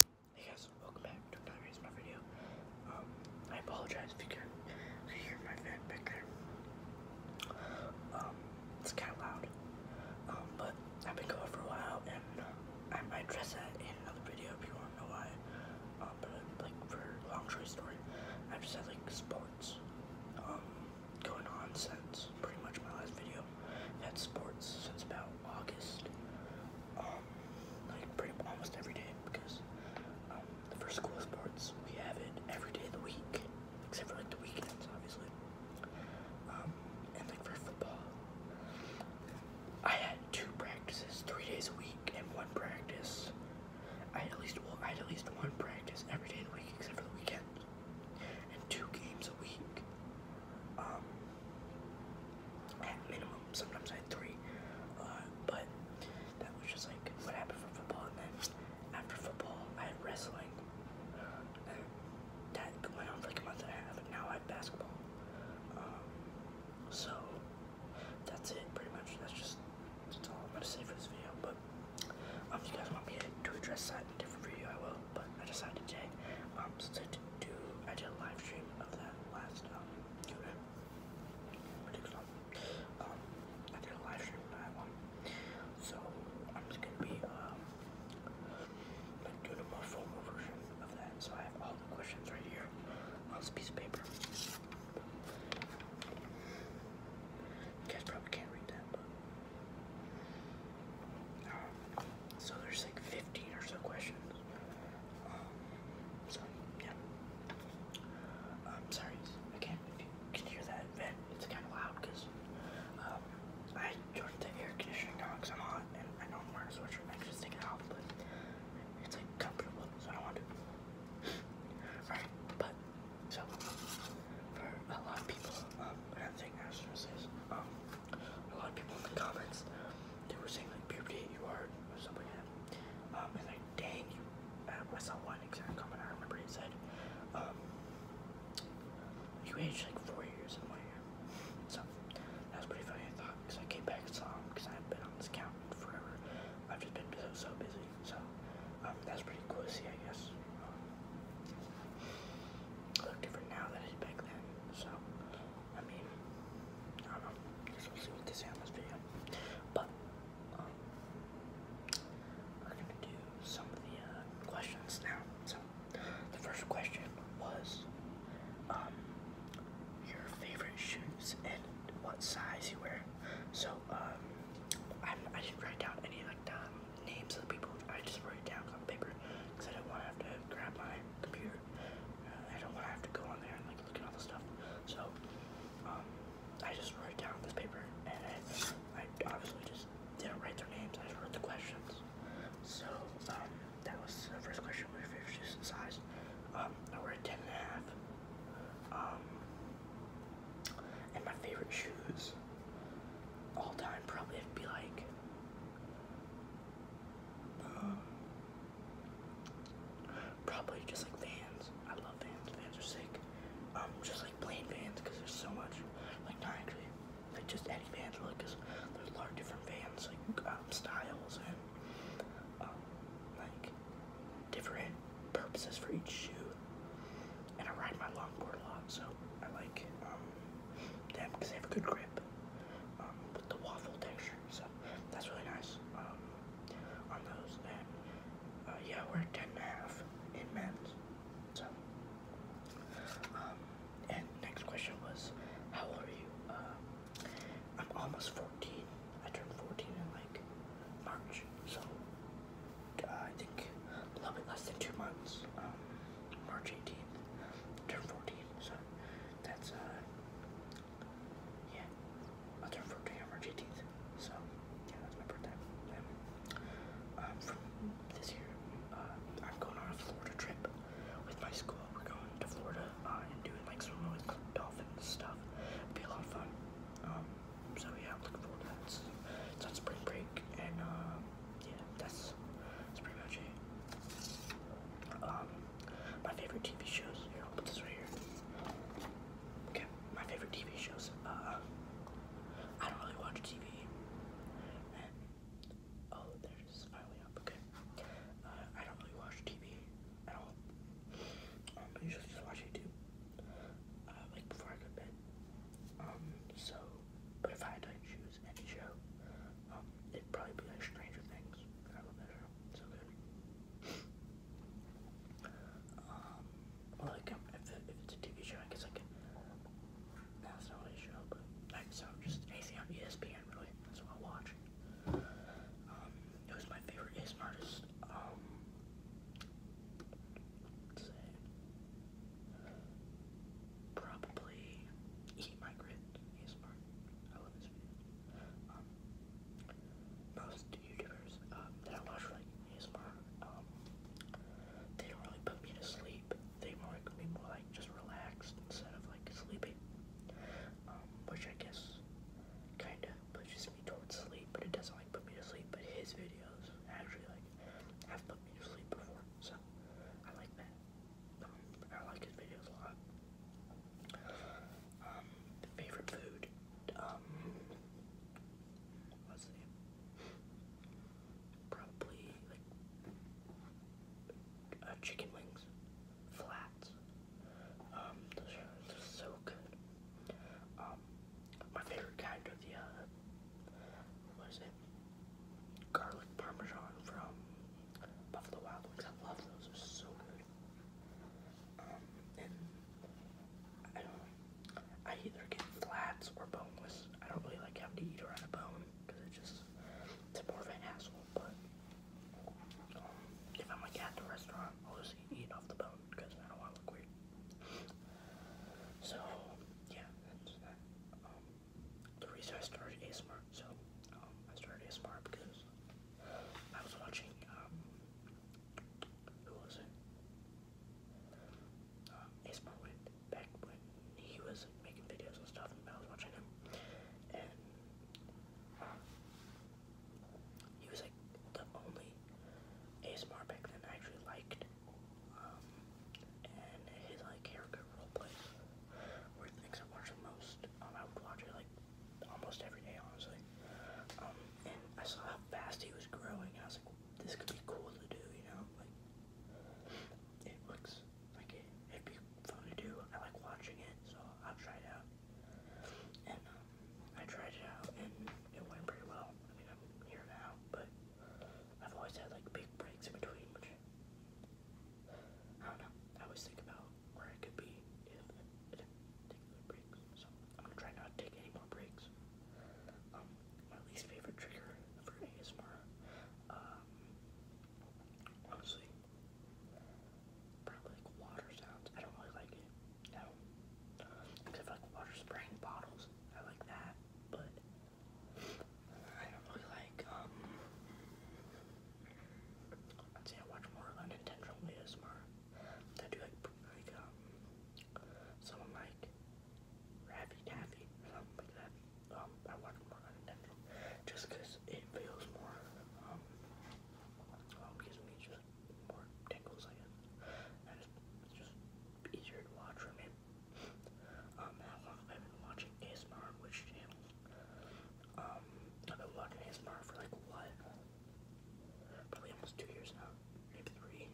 Hey guys, welcome back to another reason my video. Um, I apologize if you can not hear my fan back um, it's kind of loud. Um, but I've been going for a while, and I might address that in another video if you want to know why. Um, but like for long story story, I've just had like sports going on since pretty much my last video had sports since about August. Um, like pretty almost every day because um, the first school sports we have it every day of the week, except for like the weekends, obviously. Um, and like for football, I had two practices, three days a week, and one practice. I had at least well, I had at least one practice every day of the week except for the weekend, and two games a week at minimum, sometimes I had three. Uh, but that was just like what happened for football. And then after football, I had wrestling. that went on for like a month and a half. now I have basketball. Um, so that's it, pretty much. That's just that's all I'm gonna say for this video. But um, if you guys want me to address that in a different video, I will but I decided to, um, since I do, I did a live stream of that last, um, q um, I did a live stream that I so I'm just gonna be, um, like, doing a more formal version of that, so I have all the questions right here on this piece of paper. You guys probably can't read that, so there's like 15 or so questions. Um, yeah. I'm um, sorry, I can't. If you hear that vent, it's kind of loud because um, I turned the air conditioning on because I'm hot and I know I'm a sweatshirt. I just take it off, but it's like comfortable, so I don't want to. Alright, but so for a lot of people, um, I was gonna um a lot of people in the comments they were saying like puberty you are or something like that. Um, and like dang you um, I saw one exact comment I remember he said, um, you aged like four years in one year. So that was pretty funny I thought because I came back and saw him because I have been on this account forever. I've just been so so busy. So um, that's pretty cool to see I guess. Um, I different now than I did back then. So, I mean, I don't know. Just we'll see what they say on this video. But, um, we gonna do some of the uh, questions now. So, the first question was, um, your favorite shoes and what size you wear. So, um, I i did not write down any like the um, names of the people. I just wrote it down on paper because I don't want to have to grab my computer. Uh, I don't want to have to go on there and like look at all the stuff. So um, I just wrote it down on this paper, and I, I obviously just didn't write their names. I just wrote the questions. So um, that was the first question. What your favorite shoes and size? Um, I wear a ten and a half. Um, and my favorite shoes all time probably would be like um, probably just like Vans. I love Vans. Vans are sick. Um, just like plain Vans because there's so much. Like not actually, like just any Vans really because there's a lot of different Vans like um, styles and um, like different purposes for each shoe and I ride my longboard a lot, so I like um, them because they have a good grip um, with the waffle texture. So that's really nice um, on those. Uh, yeah, we're ten and a half in men's. So um, and next question was, how old are you? I'm almost fourteen. I turned fourteen in like March, so I think a little bit less than two months, um, March 18th, turn 14, so that's, uh, yeah, i turn 14 on March 18th, so, yeah, that's my birthday, um, this year, uh, I'm going on a Florida trip with my school, we're going to Florida, uh, and doing, like, some really cool dolphin stuff, it'll be a lot of fun, um, so yeah, I'm looking forward to that. it's on spring break, and uh, yeah, that's pretty much it. Um, my favorite TV shows. Here, I'll put this right here. Okay, my favorite TV shows. Uh, I don't really watch TV. And, oh, there it is, finally up. Okay. Uh, I don't really watch TV at all. Um, I usually just watch YouTube. Uh, like before I go to bed. Um, so, but if I had to choose any show, um, it'd probably be like Stranger Things. that show. It's so good. Um, like, if, it's a TV show, I guess I can. That's not a show, but like, so just anything ESPN, really. That's what I watch. it was my favorite game artist. Um, Probably Eat My Grit. He's smart. I love his videos. Um, most YouTubers um, that I watch like ASMR, um, they don't really put me to sleep. They more like me more like just relaxed instead of like sleeping. Um, which I guess kinda pushes me towards sleep, but it doesn't like put me to sleep. But his videos actually like have put me to sleep before, so I like that. Um, I like his videos a lot. Um, favorite food, um, what's the Probably like uh, chicken wings, flats. Um, those are so good. Um, my favorite kind of the, uh, what is it? Garlic Parmesan from Buffalo Wild Wings. I love those. They're so good. Um, I either get flats or boneless. I don't really like having to eat around a bone because it's just, it's more of an hassle. But um, if I'm like at the restaurant, I'll just eat off the bone because I don't want to look weird. So, yeah, that's that. Um, the reason I started ASMR, so, um, I started ASMR because I was watching, um, who was it? Um, ASMR went back when he was making videos and stuff, and I was watching him, um, he was like the only ASMR back then I actually liked. Um, and his like haircut roleplay were the things I watched the most. Um, I would watch it like almost every day, honestly. Um, and I saw how fast he was growing, and I was like, this could be cool to do, you know? Like, it looks like it, it'd be fun to do. I like watching it, so I'll try it out. And um, I tried it out and it went pretty well. I mean, I'm here now, but I've always had like big breaks in between, which I don't know. I always think about where I could be if I didn't take those breaks. So I'm gonna try not take any more breaks. Um, my least favorite trigger for ASMR, um, honestly, probably like water sounds. I don't really like it. No. Except like water spraying bottles. I like that, but I don't really like, um, I'd say watch more unintentional ASMR. I do like, like, um, someone like Raffy Taffy um, I watch more unintentional just because it feels more, um, because me just just more tingles, I it's just easier to watch for me. been um, watching ASMR which channels? I've been watching ASMR um, for like what? Probably almost two years now. Maybe three.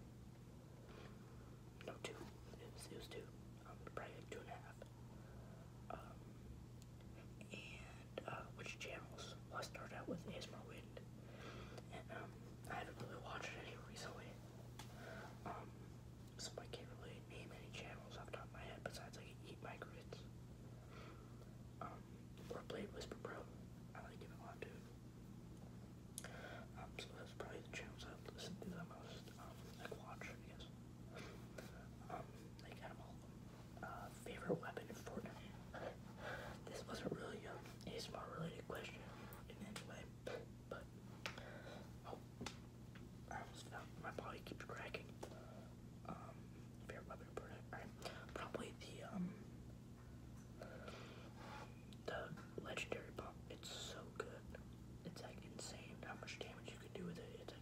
No, two. It was, two. Um, probably two and a half. Uh, which channels. Well, I start out with ASMR Wind, um, I haven't really watched any recently, um, so I can't really name any channels off the top of my head besides like Eat My Grits, um, or Blade Whisper Pro. I like him a lot too. Um, so that's probably the channels I listen to the most, like watch, I guess. Um, like out all uh, favorite weapon for me. This wasn't really a ASMR related question in any way, but oh, My body keeps cracking. Um, favorite weapon in Fortnite. probably the um, the legendary pump. It's so good. It's like insane how much damage you can do with it.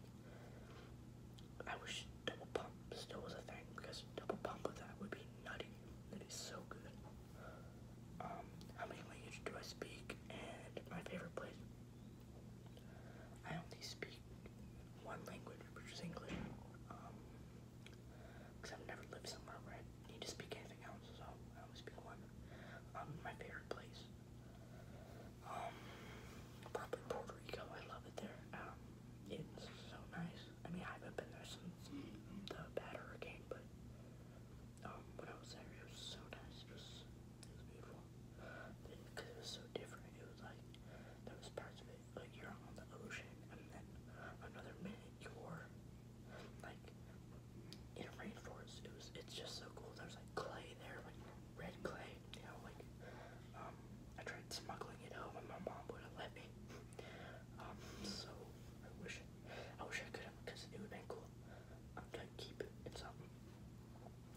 I wish double pump still was a thing because double pump with that would be nutty. That is so good. Um, how many languages do I speak? And my favorite place? I only speak one language, which is English. Um, because I've never lived somewhere where I need to speak anything else, so I only speak one. Um, my favorite place. Um, probably Puerto Rico. I love it there. Um, it's so nice. I mean, I haven't been there since the batter game, but um, when I was there, it was so nice. it was beautiful because it was so different. It was like there was parts of it like you're on the ocean, and then another minute you're like in a rainforest. It was. It's just so cool. There's like clay there, like red clay, you like, um, I tried smuggling it home but my mom wouldn't let me. Um, so I wish, I wish I could have, because it would have been cool. I'm um, gonna keep it in something.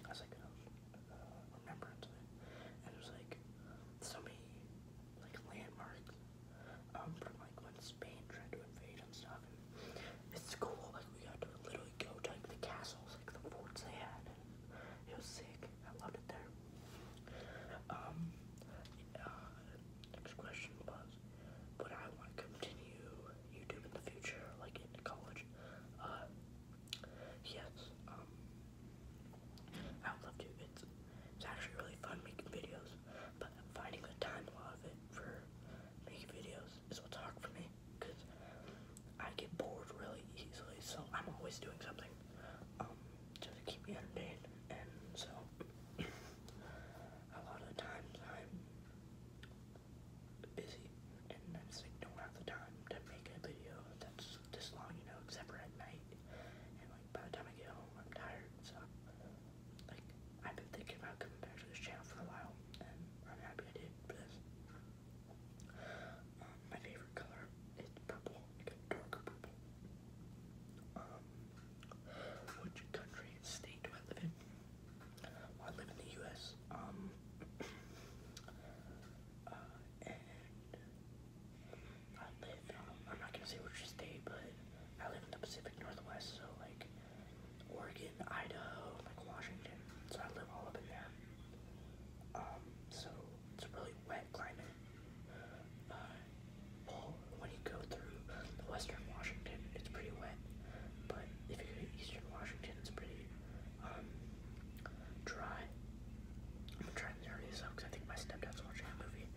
I was like, uh, remembrance of it. And there's like, so many, like, landmarks, um, from like when Spain tried to invade and stuff. And it's cool, like, we got to literally go to like the castles, like the forts they had. He was sick. I loved it there. Um, next question was, would I want to continue YouTube in the future, like in college? Uh, yes. Um, I would love to. It's, it's actually really fun making videos, but finding the time a lot of it for making videos is what's hard for me because I get bored really easily, so I'm always doing something um, just to keep me entertained. And so, a lot of times I'm busy and I just don't have the time to make a video that's this long, you know, except for at night. And like by the time I get home, I'm tired, so like I've been thinking about coming back to this channel for a while, and I'm happy I did this. Um, my favorite color is purple, like purple. Um, which country, state do I live in? I live in the U.S. Um, uh, and I live. Um, I'm not gonna say which state, but I live in the Pacific Northwest, so like Oregon, Idaho, like Washington. So I live all up in there. Um, so it's a really wet climate. Uh, well, when you go through western Washington, it's pretty wet. But if you go to eastern Washington, it's pretty um, dry. I'm trying to turn this up because I think my stepdad's watching a movie,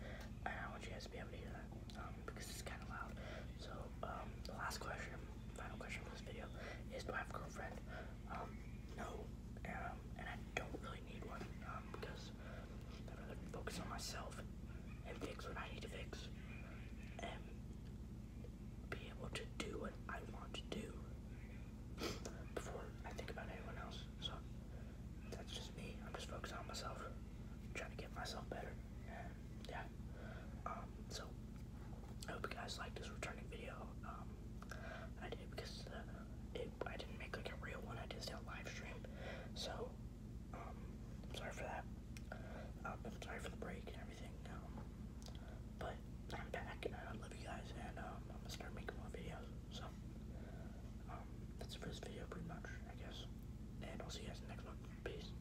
and I want you guys to be able to hear that um, because it's kind of loud. So um, the last question final question for this video is do I have a girlfriend? Um, no, um, and I don't really need one um, because I'd rather focus on myself and fix what I need to fix and be able to do what I want to do before I think about anyone else. So that's just me. I'm just focusing on myself, trying to get myself better, yeah. Um, so I hope you guys liked this returning video. Um, I did because I didn't make like a real one. I just did a live stream. So um, sorry for that. I'm sorry for the break and everything. but I'm back and I love you guys and I'm gonna start making more videos. So um, that's the first video pretty much, I guess. And I'll see you guys in the next one. Peace.